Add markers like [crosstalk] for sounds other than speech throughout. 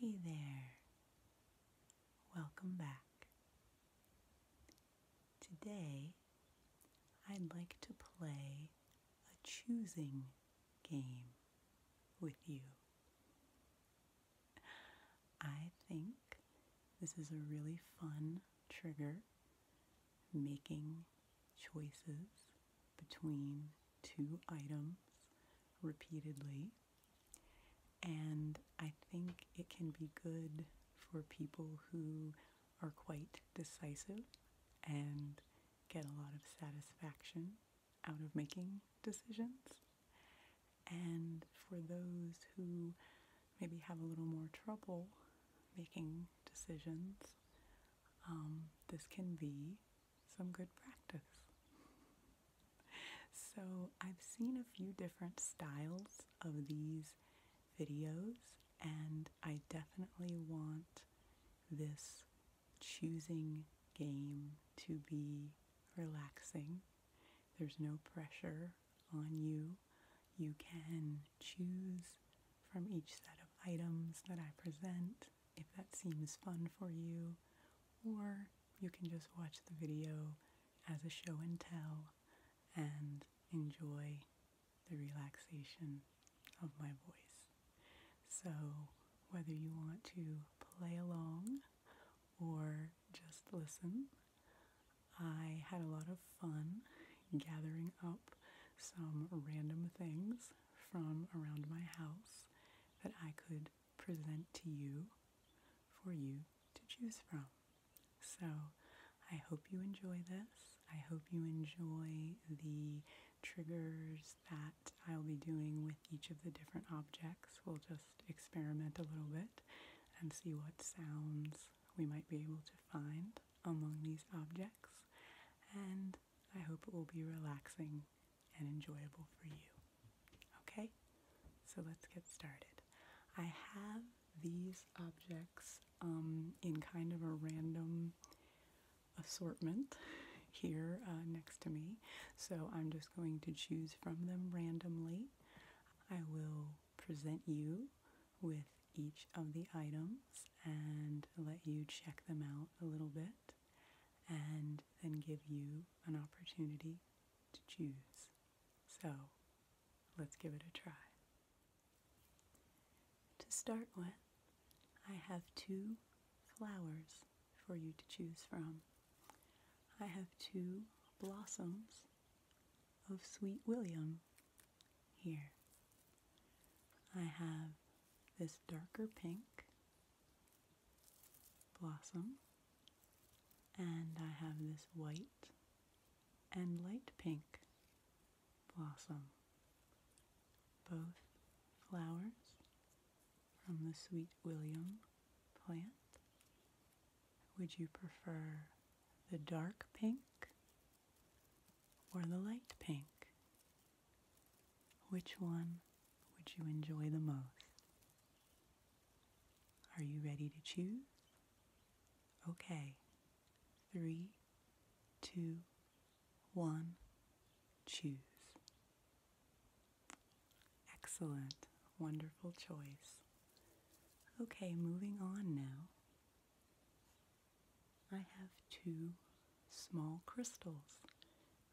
Hey there, welcome back. Today I'd like to play a choosing game with you. I think this is a really fun trigger, making choices between two items repeatedly. And I think it can be good for people who are quite decisive and get a lot of satisfaction out of making decisions. And for those who maybe have a little more trouble making decisions, um, this can be some good practice. So I've seen a few different styles of these videos, and I definitely want this choosing game to be relaxing. There's no pressure on you. You can choose from each set of items that I present if that seems fun for you, or you can just watch the video as a show and tell and enjoy the relaxation of my voice. So, whether you want to play along or just listen, I had a lot of fun gathering up some random things from around my house that I could present to you for you to choose from. So I hope you enjoy this. I hope you enjoy the triggers that I'll be doing with each of the different objects. We'll just experiment a little bit and see what sounds we might be able to find among these objects. And I hope it will be relaxing and enjoyable for you. Okay? So let's get started. I have these objects um, in kind of a random assortment [laughs] here uh, next to me. So I'm just going to choose from them randomly. I will present you with each of the items and let you check them out a little bit and then give you an opportunity to choose. So let's give it a try. To start with, I have two flowers for you to choose from. I have two blossoms of Sweet William here. I have this darker pink blossom, and I have this white and light pink blossom. Both flowers from the Sweet William plant. Would you prefer the dark pink or the light pink? Which one would you enjoy the most? Are you ready to choose? Okay. Three, two, one, choose. Excellent. Wonderful choice. Okay, moving on now. I have two small crystals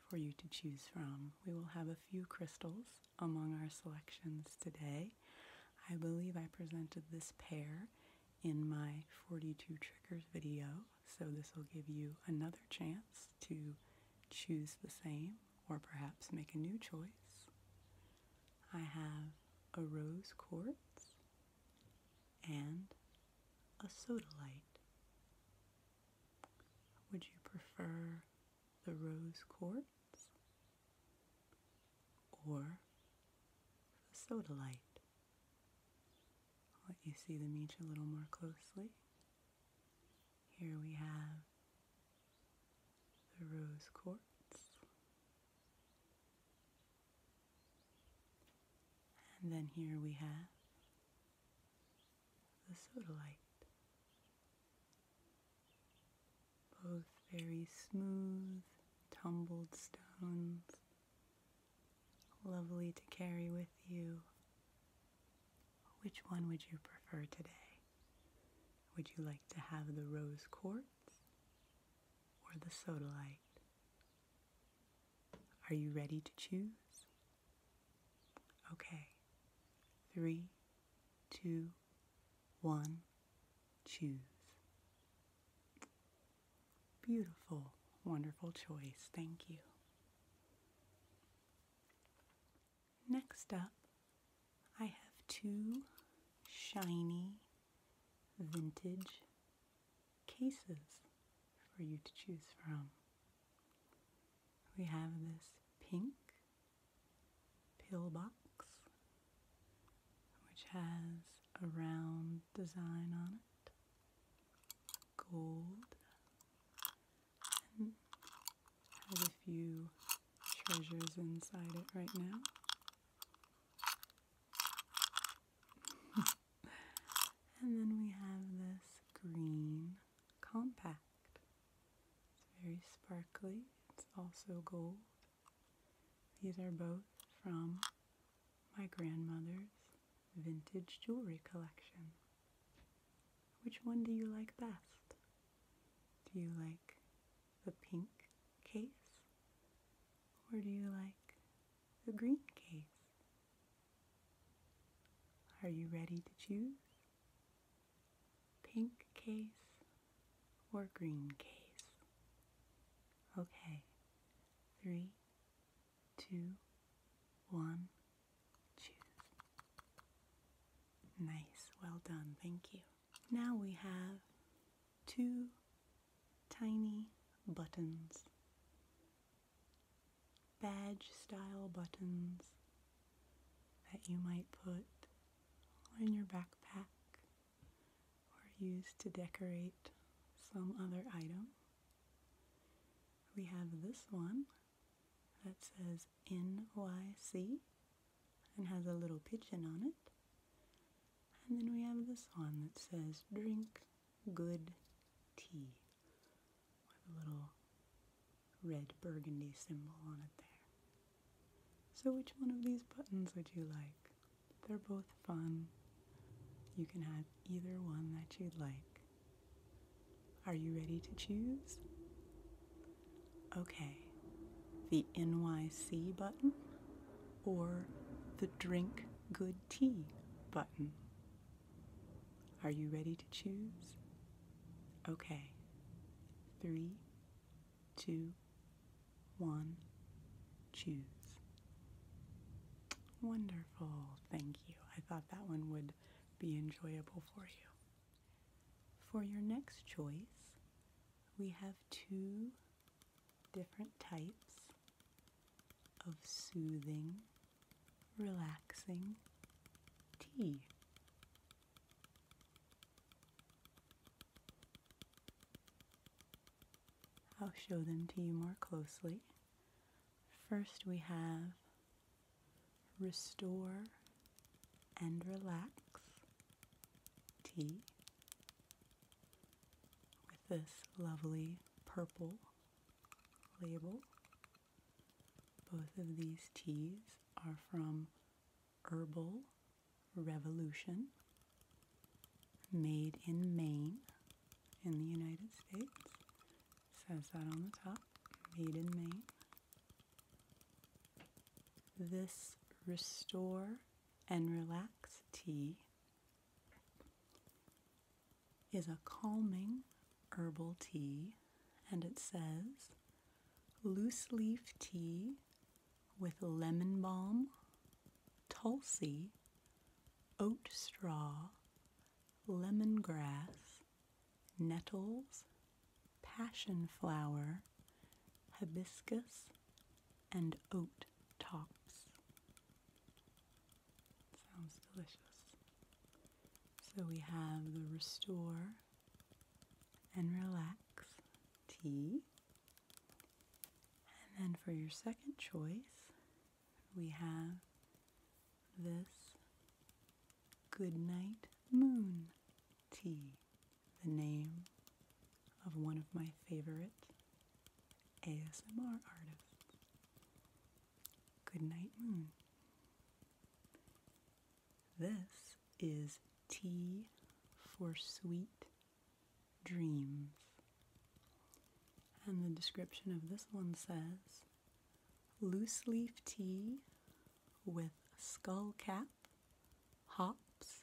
for you to choose from. We will have a few crystals among our selections today. I believe I presented this pair in my 42 triggers video, so this will give you another chance to choose the same or perhaps make a new choice. I have a rose quartz and a sodalite. Would you prefer the rose quartz or the sodalite? let you see them each a little more closely. Here we have the rose quartz. And then here we have the sodalite. Both very smooth, tumbled stones, lovely to carry with you. Which one would you prefer today? Would you like to have the rose quartz or the sodalite? Are you ready to choose? Okay. Three, two, one, choose. Beautiful, wonderful choice. Thank you. Next up, I have two shiny vintage cases for you to choose from we have this pink pillbox which has a round design on it, gold, and has a few treasures inside it right now. [laughs] and then we have this green compact it's very sparkly. It's also gold. These are both from my grandmother's vintage jewelry collection. Which one do you like best? Do you like the pink case? Or do you like the green case? Are you ready to choose? Pink case or green case? Okay, three, two, one, choose. Nice, well done, thank you. Now we have two tiny buttons badge style buttons that you might put on your backpack or use to decorate some other item. We have this one that says NYC and has a little pigeon on it. And then we have this one that says drink good tea with a little red burgundy symbol on it there. So which one of these buttons would you like? They're both fun. You can have either one that you'd like. Are you ready to choose? Okay, the NYC button or the drink good tea button. Are you ready to choose? Okay. Three, two, one, choose. Wonderful, thank you. I thought that one would be enjoyable for you. For your next choice, we have two different types of soothing relaxing tea. I'll show them to you more closely. First, we have Restore and Relax tea with this lovely purple label. Both of these teas are from Herbal Revolution, made in Maine in the United States. says that on the top, made in Maine. This Restore and Relax tea is a calming herbal tea, and it says loose leaf tea with lemon balm, tulsi, oat straw, lemongrass, nettles, passion flower, hibiscus, and oat tops. Sounds delicious. So we have the Restore and Relax tea. And then for your second choice, we have this Good Night Moon tea, the name of one of my favorite ASMR artists. Good Night Moon. This is tea for sweet dreams. And the description of this one says loose leaf tea with skullcap, hops,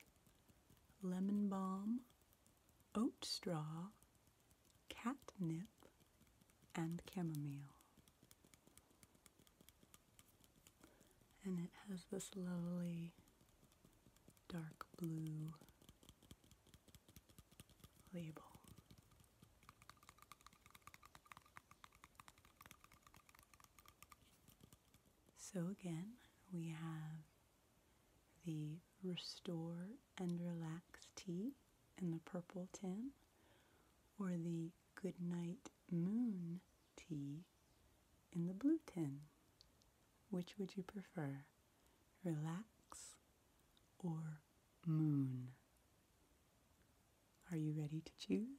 lemon balm, oat straw, catnip, and chamomile. And it has this lovely dark blue label. So again, we have the Restore and Relax tea in the purple tin or the Goodnight Moon tea in the blue tin. Which would you prefer? Relax or moon? Are you ready to choose?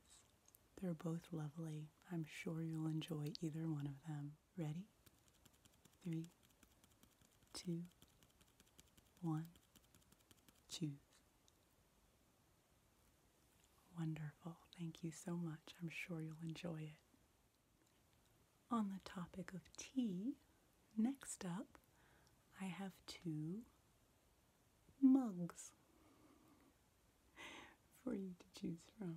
They're both lovely. I'm sure you'll enjoy either one of them. Ready? Three, two, one, choose. Wonderful. Thank you so much. I'm sure you'll enjoy it. On the topic of tea, next up, I have two mugs [laughs] for you to choose from.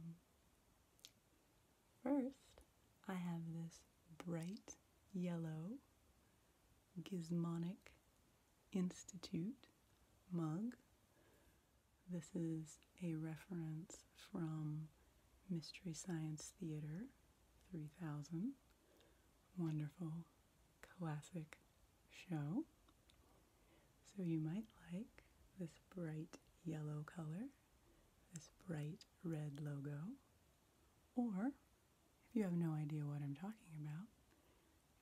First, I have this bright yellow gismonic. Institute mug. This is a reference from Mystery Science Theater 3000. Wonderful classic show. So you might like this bright yellow color, this bright red logo, or if you have no idea what I'm talking about,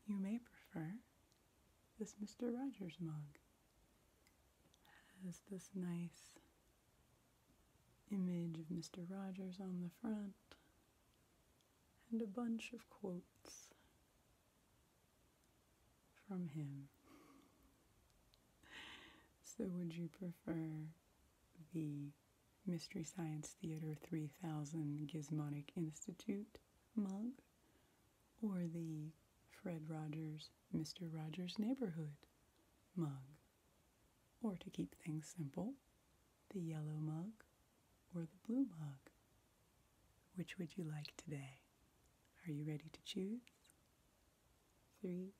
you may prefer this Mr. Rogers mug. It has this nice image of Mr. Rogers on the front and a bunch of quotes from him. [laughs] So, would you prefer the Mystery Science Theater 3000 Gismonic Institute mug, or the Fred Rogers Mr. Rogers Neighborhood mug, or to keep things simple, the yellow mug or the blue mug. Which would you like today? Are you ready to choose? Three,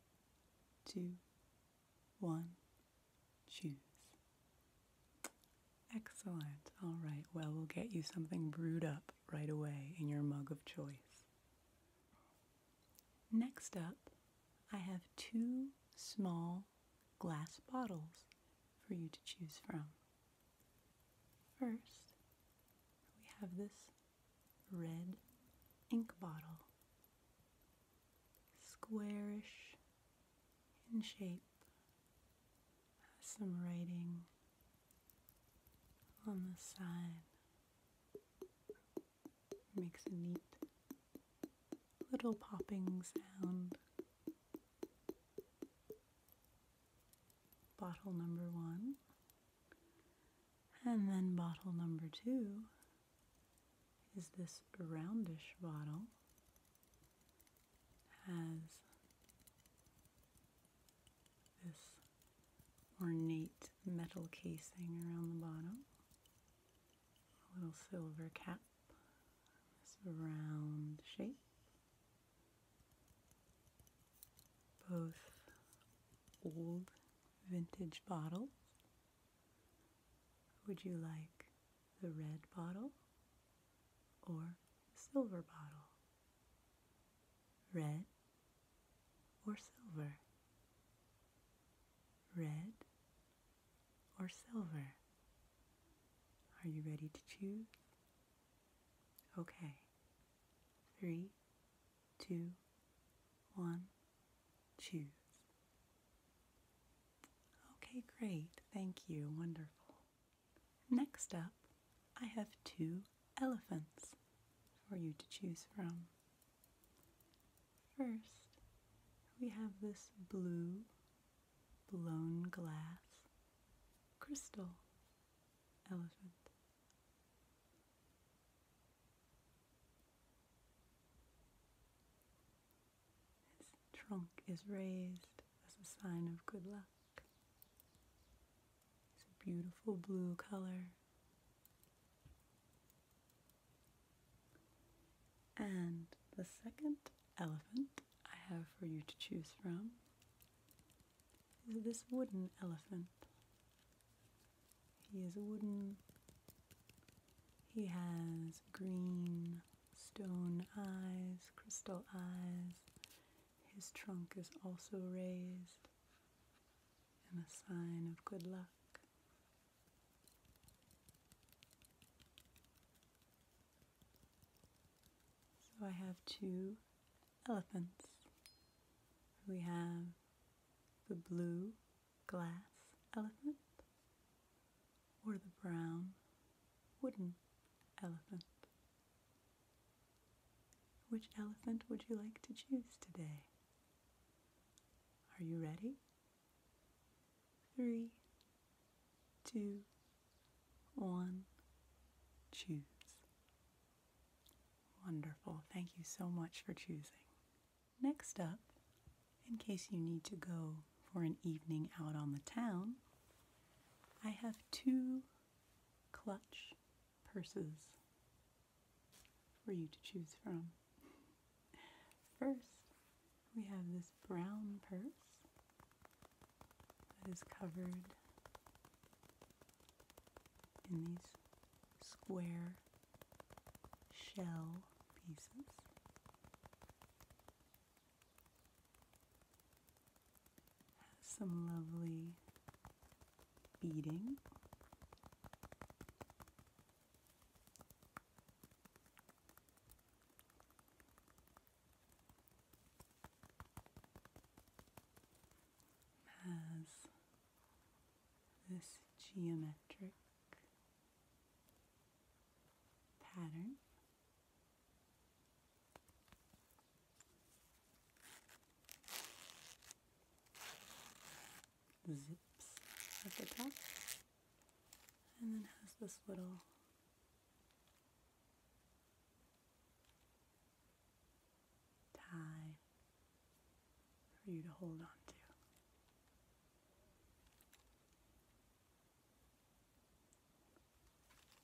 two, one choose. Excellent. All right. Well, we'll get you something brewed up right away in your mug of choice. Next up, I have two small glass bottles for you to choose from. First, we have this red ink bottle. Squarish in shape. Has some writing on the side. Makes a neat little popping sound. Bottle number one, and then bottle number two is this roundish bottle has this ornate metal casing around the bottom, a little silver cap, this round shape. Both old vintage bottles. Would you like the red bottle or silver bottle? Red or silver? Red or silver? Are you ready to choose? Okay. Three, two, one, choose. Okay, great. Thank you. Wonderful. Next up, I have two elephants for you to choose from. First, we have this blue blown glass crystal elephant. His trunk is raised as a sign of good luck. It's a beautiful blue color. And the second elephant I have for you to choose from is this wooden elephant. He is wooden. He has green stone eyes, crystal eyes. His trunk is also raised, and a sign of good luck. So I have two elephants. We have the blue glass elephant or the brown wooden elephant. Which elephant would you like to choose today? Are you ready? Three, two, one, choose. Wonderful. Thank you so much for choosing. Next up, in case you need to go for an evening out on the town, I have two clutch purses for you to choose from. First, we have this brown purse that is covered in these square shell pieces. Has some lovely beading. Has this geometric pattern zips at the top and then has this little tie for you to hold on to.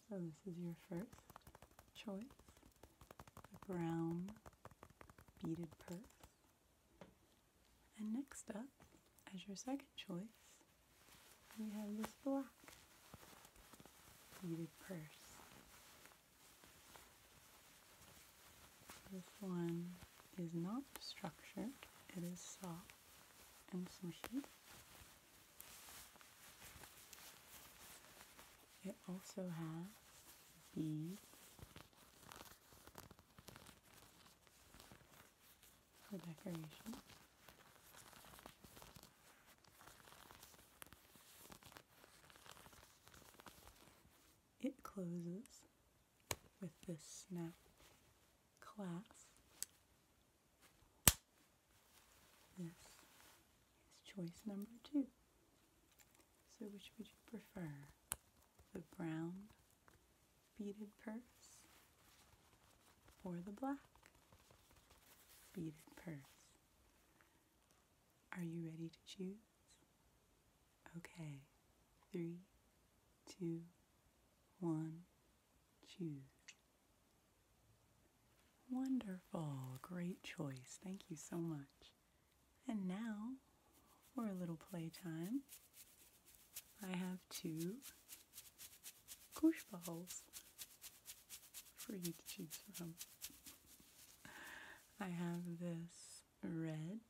So this is your first choice, a brown beaded purse. And next up, as your second choice, we have this black beaded purse. This one is not structured, it is soft and some shade. It also has beads for decoration. It closes with this snap clasp Yes, it's choice number two. So, which would you prefer? The brown beaded purse or the black beaded purse? Are you ready to choose? Okay, three, two, one choose. Wonderful, great choice. Thank you so much. And now for a little playtime, I have two koosh balls for you to choose from. I have this red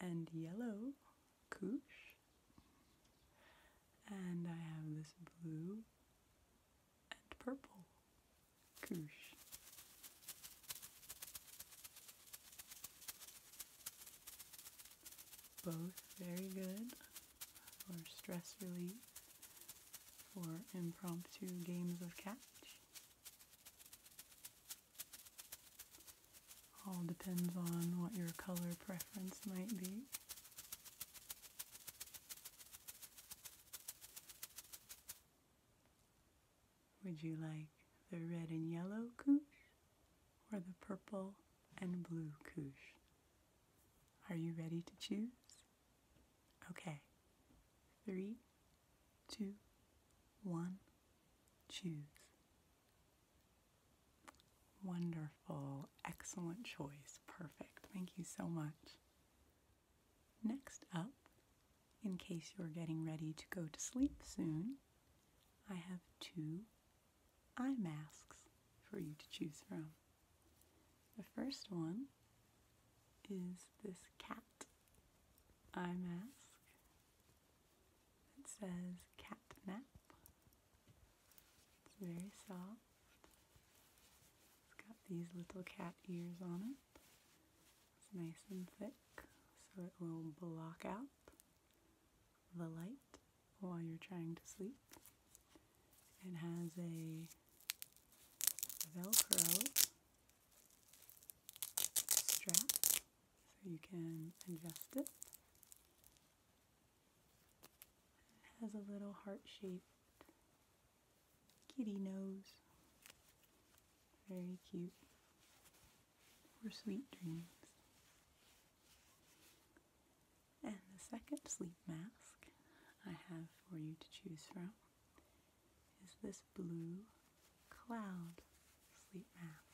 and yellow koosh and I have this blue and purple Both very good for stress relief, for impromptu games of catch. All depends on what your color preference might be. Would you like the red and yellow couche or the purple and blue couche? Are you ready to choose? Okay. Three, two, one, choose. Wonderful, excellent choice. Perfect. Thank you so much. Next up, in case you're getting ready to go to sleep soon, I have two eye masks for you to choose from. The first one is this cat eye mask. that says cat nap it's very soft. It's got these little cat ears on it. It's nice and thick so it will block out the light while you're trying to sleep. It has a Velcro strap so you can adjust it it has a little heart-shaped kitty nose. Very cute. For sweet dreams. And the second sleep mask I have for you to choose from is this blue cloud sleep mask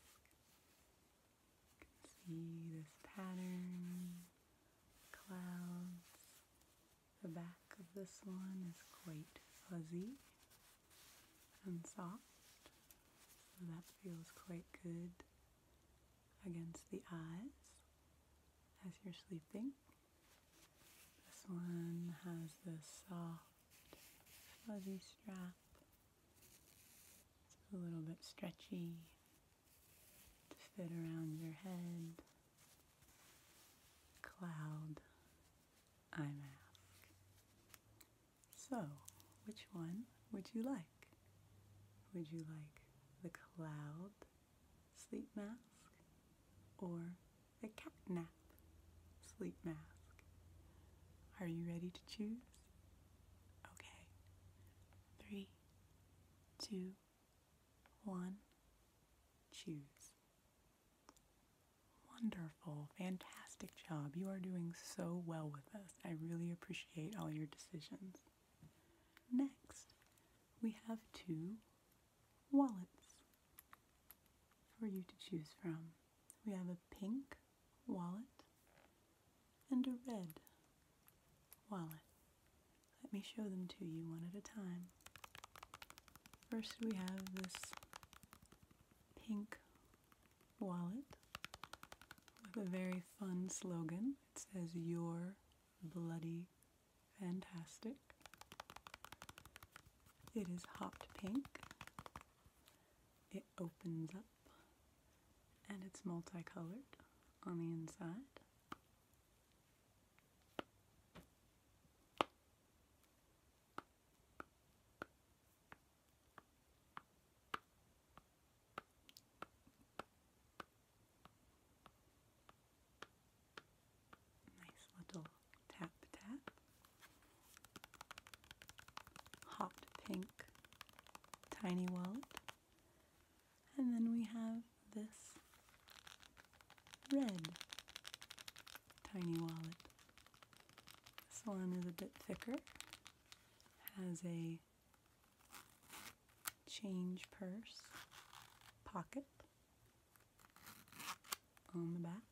see this pattern, clouds. The back of this one is quite fuzzy and soft, so that feels quite good against the eyes as you're sleeping. This one has the soft, fuzzy strap. It's a little bit stretchy to fit around your head, cloud, eye mask. So, which one would you like? Would you like the cloud sleep mask or the cat nap sleep mask? Are you ready to choose? Okay. Three, two, one. Choose. Wonderful, fantastic job. You are doing so well with us. I really appreciate all your decisions. Next, we have two wallets for you to choose from. We have a pink wallet and a red wallet. Let me show them to you one at a time. First, we have this pink wallet with a very fun slogan. It says, You're bloody fantastic. It is hot pink. It opens up and it's multicolored on the inside. Nice little tap tap. Hot pink tiny wallet. And then we have this red tiny wallet. This one is a bit thicker, has a change purse pocket on the back.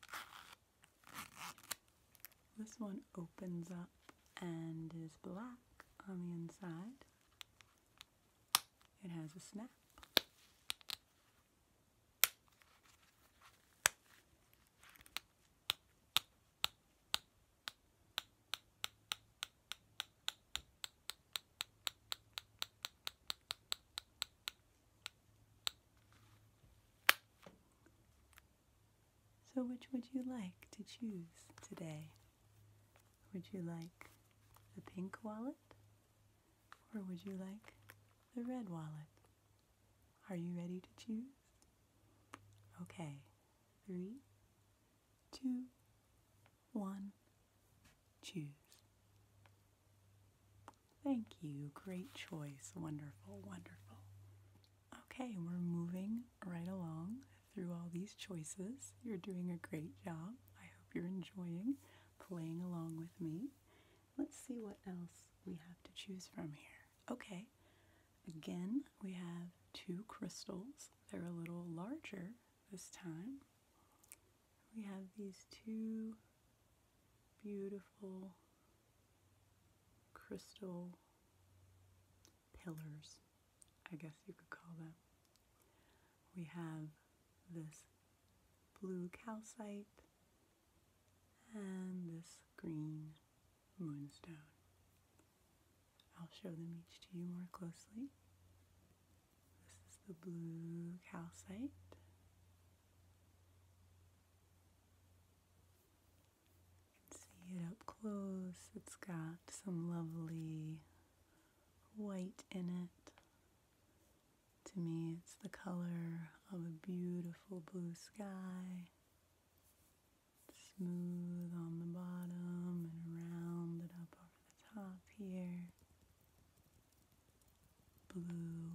This one opens up and is black on the inside. It has a snap. So, which would you like to choose today? Would you like the pink wallet? Or would you like the red wallet? Are you ready to choose? Okay, three, two, one, choose. Thank you. Great choice. Wonderful, wonderful. Okay, we're moving right along through all these choices. You're doing a great job. I hope you're enjoying playing along with me. Let's see what else we have to choose from here. Okay, again, we have two crystals. They're a little larger this time. We have these two beautiful crystal pillars, I guess you could call them. We have this blue calcite and this green moonstone. I'll show them each to you more closely. This is the blue calcite. See it up close. It's got some lovely white in it. To me, it's the color of a beautiful blue sky. Smooth on the bottom and rounded up over the top here. Blue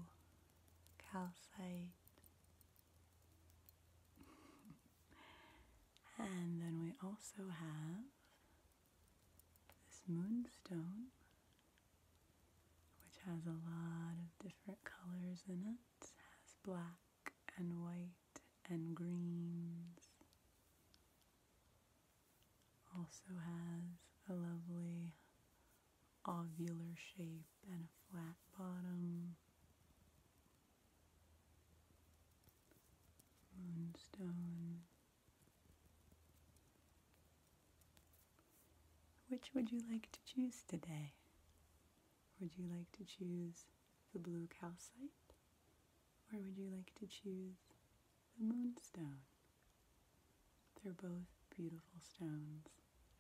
calcite. [laughs] And then we also have this moonstone, which has a lot of different colors in it. has black and white and greens. Also has a lovely ovular shape and a flat bottom. Moonstone. Which would you like to choose today? Would you like to choose the blue calcite? Or would you like to choose the moonstone? They're both beautiful stones.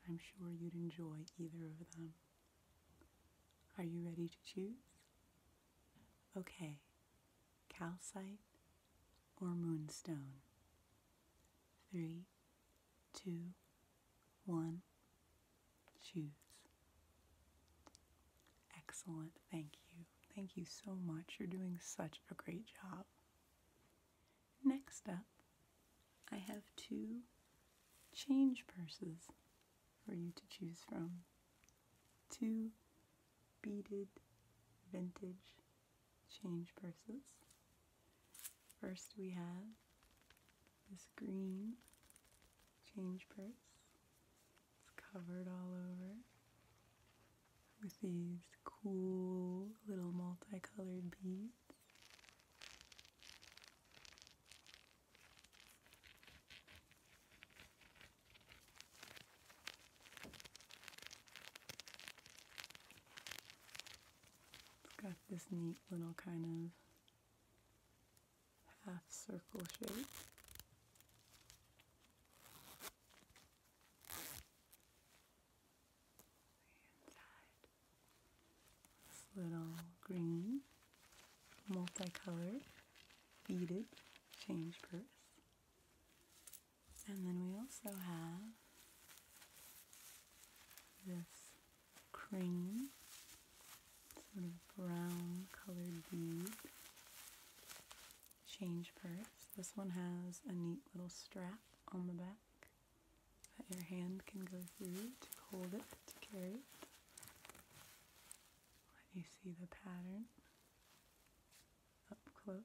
I'm sure you'd enjoy either of them. Are you ready to choose? Okay, calcite or moonstone? Three, two, one, choose. Excellent, thank you. Thank you so much. You're doing such a great job. Next up, I have two change purses for you to choose from. Two beaded vintage change purses. First, we have this green change purse. It's covered all over with these cool little multicolored beads. It's got this neat little kind of half circle shape. little green, multicolored beaded change purse. And then we also have this cream, sort of brown colored bead change purse. This one has a neat little strap on the back that your hand can go through to hold it, to carry it. Let you see the pattern up close.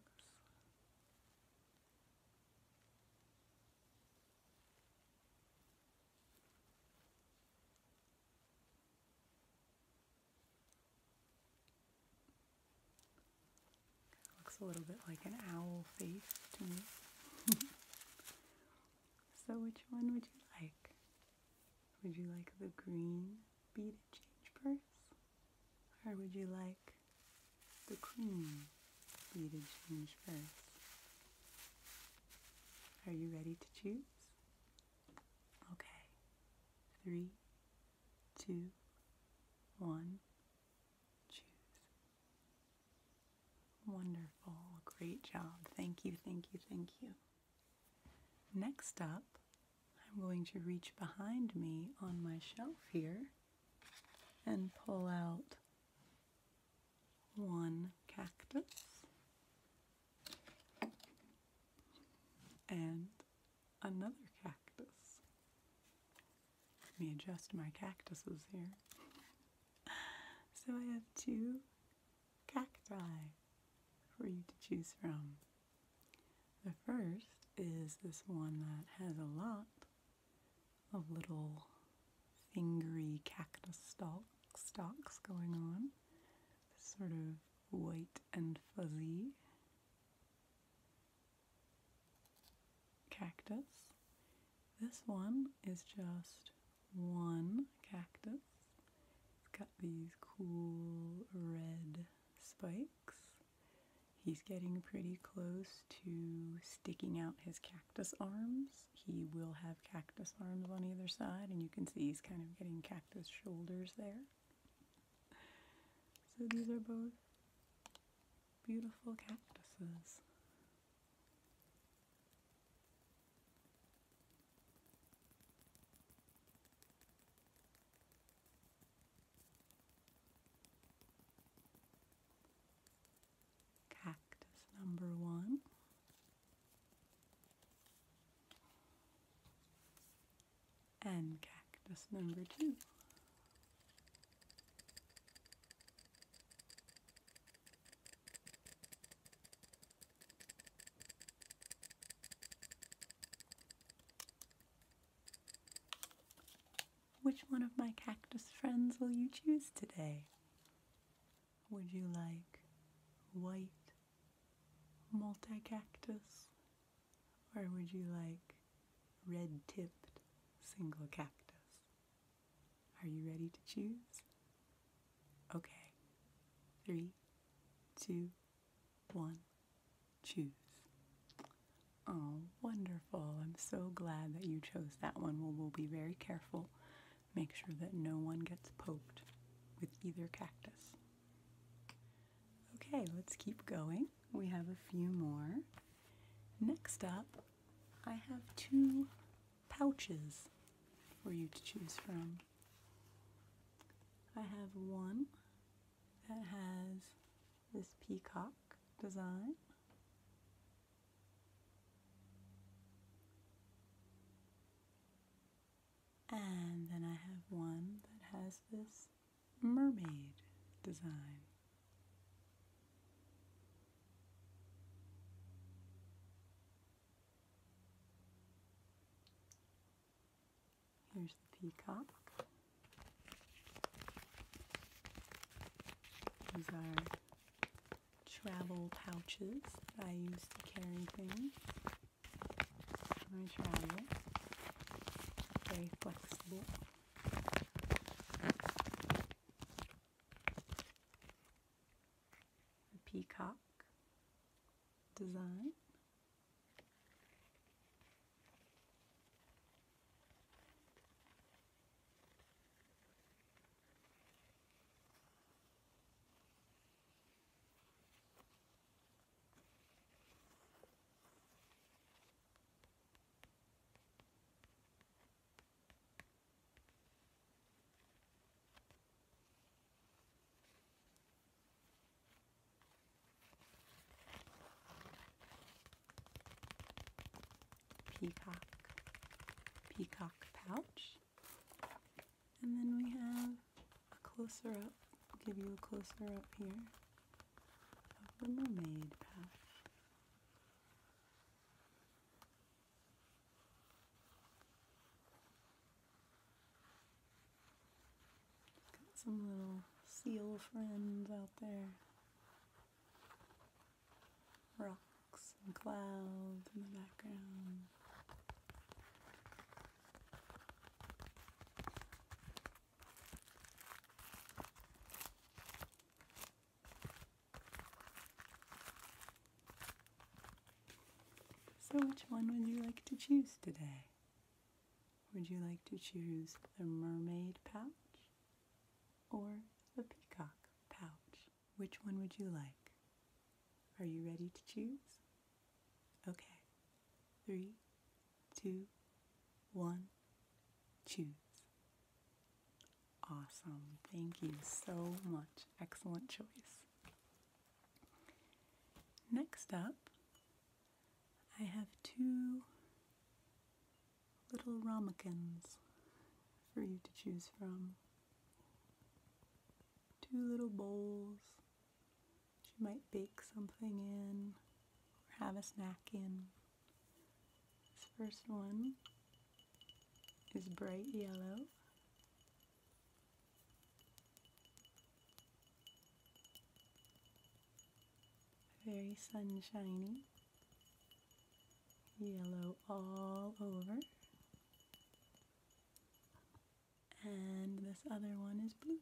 Looks a little bit like an owl face to me. [laughs] so which one would you like? Would you like the green beaded change purse? Or would you like the cream beaded change purse? Are you ready to choose? Okay. Three, two, one, choose. Wonderful. Great job. Thank you, thank you, thank you. Next up, I'm going to reach behind me on my shelf here and pull out one cactus and another cactus. Let me adjust my cactuses here. [laughs] So I have two cacti for you to choose from. The first is this one that has a lot of little fingery cactus stalk, stalks going on, sort of white and fuzzy cactus. This one is just one cactus. It's got these cool red spikes. He's getting pretty close to sticking out his cactus arms. He will have cactus arms on either side, and you can see he's kind of getting cactus shoulders there. So these are both beautiful cactuses. Cactus number one. And cactus number two. Which one of my cactus friends will you choose today? Would you like white multi-cactus? Or would you like red-tipped single cactus? Are you ready to choose? Okay. Three, two, one, choose. Oh, wonderful. I'm so glad that you chose that one. Well, we'll be very careful. Make sure that no one gets poked with either cactus. Okay, let's keep going. We have a few more. Next up, I have two pouches for you to choose from. I have one that has this peacock design. And then I have one that has this mermaid design. Here's the peacock. These are travel pouches that I use to carry things when I travel. Very flexible a peacock design. Peacock, peacock pouch. And then we have a closer up. give you a closer up here of the mermaid pouch. Got some little seal friends out there. Rocks and clouds in the background. So, which one would you like to choose today? Would you like to choose the mermaid pouch or the peacock pouch? Which one would you like? Are you ready to choose? Okay. Three, two, one, choose. Awesome. Thank you so much. Excellent choice. Next up, I have two little ramekins for you to choose from. Two little bowls you might bake something in or have a snack in. This first one is bright yellow very sunshiny, yellow all over, and this other one is blue.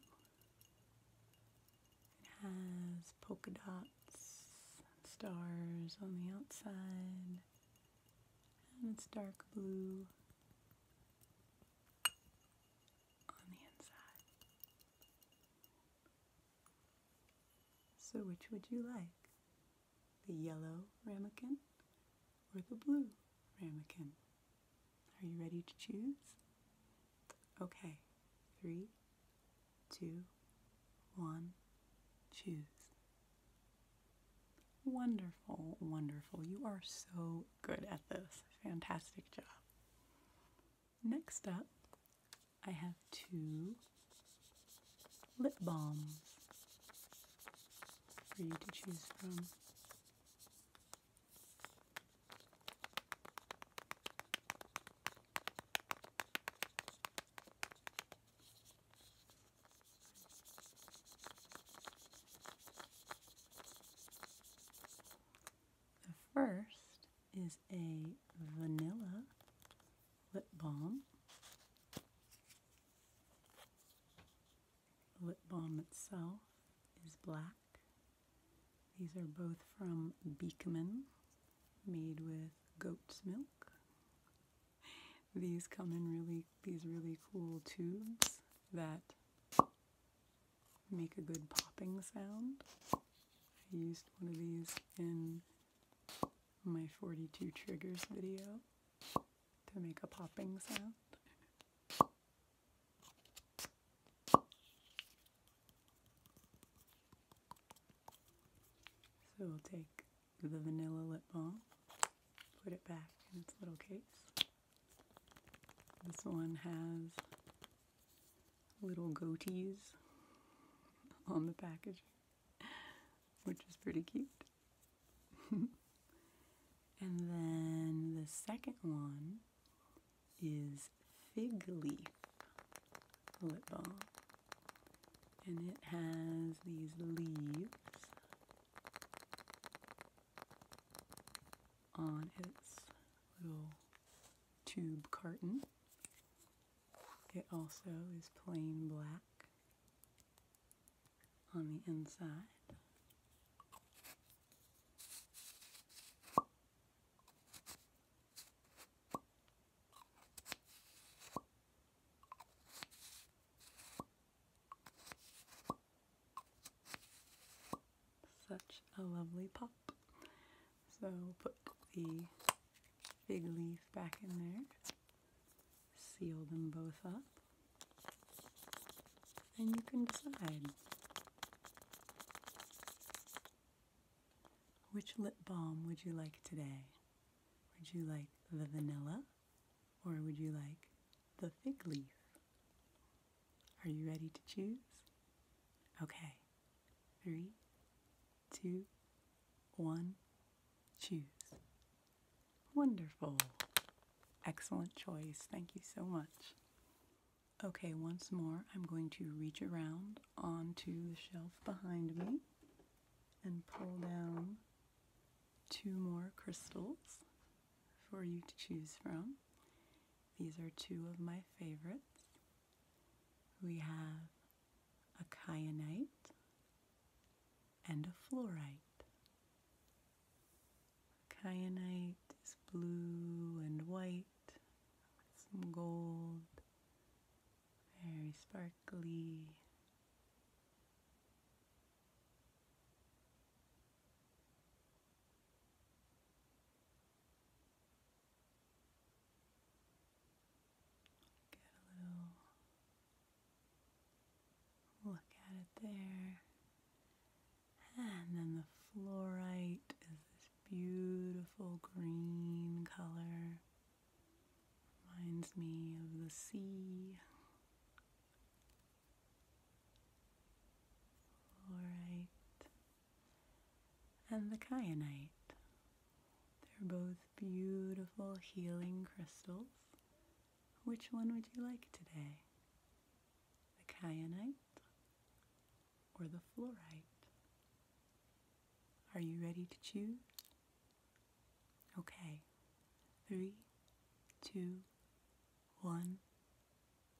It has polka dots and stars on the outside, and it's dark blue so, which would you like? The yellow ramekin or the blue ramekin? Are you ready to choose? Okay, three, two, one, choose. Wonderful, wonderful. You are so good at this. Fantastic job. Next up, I have two lip balms for you to choose from. The first is a vanilla lip balm. The lip balm itself is black. These are both from Beekman, made with goat's milk. These come in really these really cool tubes that make a good popping sound. I used one of these in my 42 triggers video to make a popping sound. So we'll take the vanilla lip balm, put it back in its little case. This one has little goatees on the package, which is pretty cute. [laughs] and then the second one is Fig Leaf lip balm. And it has these leaves on its little tube carton. It also is plain black on the inside. Such a lovely pop. So put the big leaf back in there, seal them both up, and you can decide which lip balm would you like today. Would you like the vanilla or would you like the fig leaf? Are you ready to choose? Okay. Three, two, one, choose. Wonderful. Excellent choice. Thank you so much. Okay, once more, I'm going to reach around onto the shelf behind me and pull down two more crystals for you to choose from. These are two of my favorites. We have a kyanite and a fluorite. Kyanite is blue and white with some gold, very sparkly. Get a little look at it there. And then the fluorite is this beautiful green color. Reminds me of the sea. All right. And the kyanite. They're both beautiful healing crystals. Which one would you like today? The kyanite or the fluorite? Are you ready to choose? Okay. Three, two, one,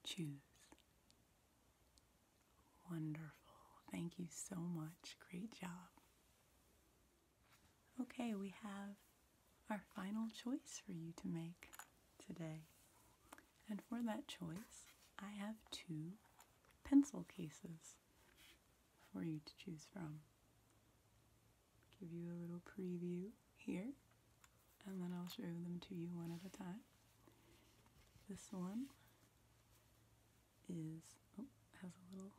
choose. Wonderful. Thank you so much. Great job. Okay, we have our final choice for you to make today. And for that choice, I have two pencil cases for you to choose from give you a little preview here, and then I'll show them to you one at a time. This one is, oh, has a little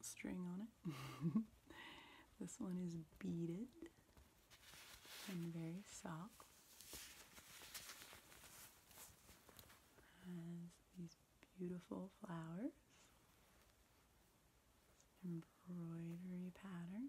string on it. [laughs] this one is beaded and very soft. Has these beautiful flowers, embroidery pattern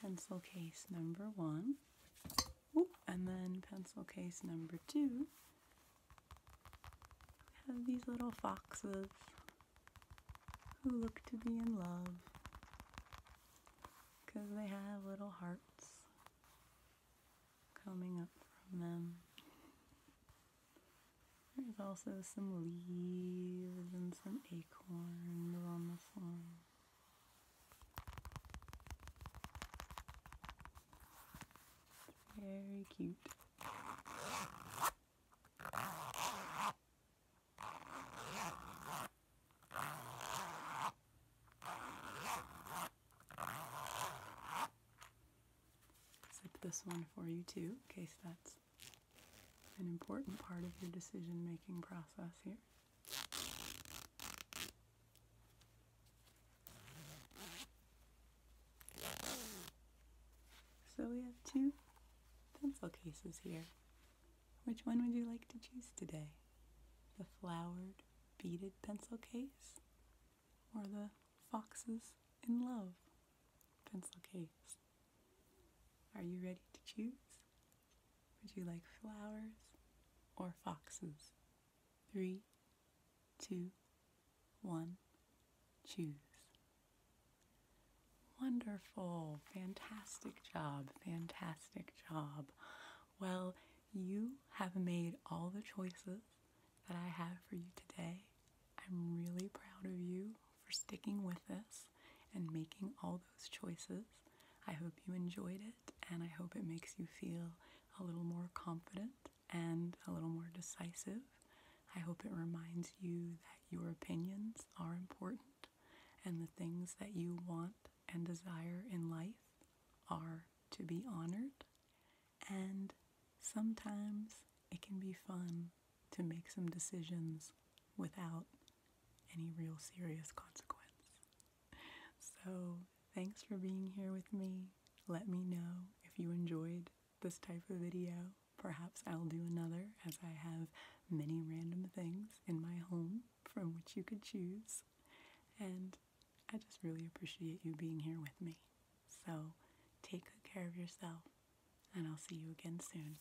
pencil case number one, and then pencil case number two. We have these little foxes who look to be in love because they have little hearts coming up from them. There's also some leaves and some acorns on the floor very cute. Zip this one for you too, case that's an important part of your decision making process here. So we have two pencil cases here. Which one would you like to choose today? The flowered beaded pencil case or the foxes in love pencil case? Are you ready to choose? Would you like flowers or foxes? Three, two, one, choose. Wonderful, fantastic job, fantastic job. Well, you have made all the choices that I have for you today. I'm really proud of you for sticking with us and making all those choices. I hope you enjoyed it and I hope it makes you feel a little more confident and a little more decisive. I hope it reminds you that your opinions are important and the things that you want and desire in life are to be honored. And sometimes it can be fun to make some decisions without any real serious consequence. So, thanks for being here with me. Let me know if you enjoyed this type of video. Perhaps I'll do another as I have many random things in my home from which you could choose. And I just really appreciate you being here with me. So take good care of yourself, and I'll see you again soon.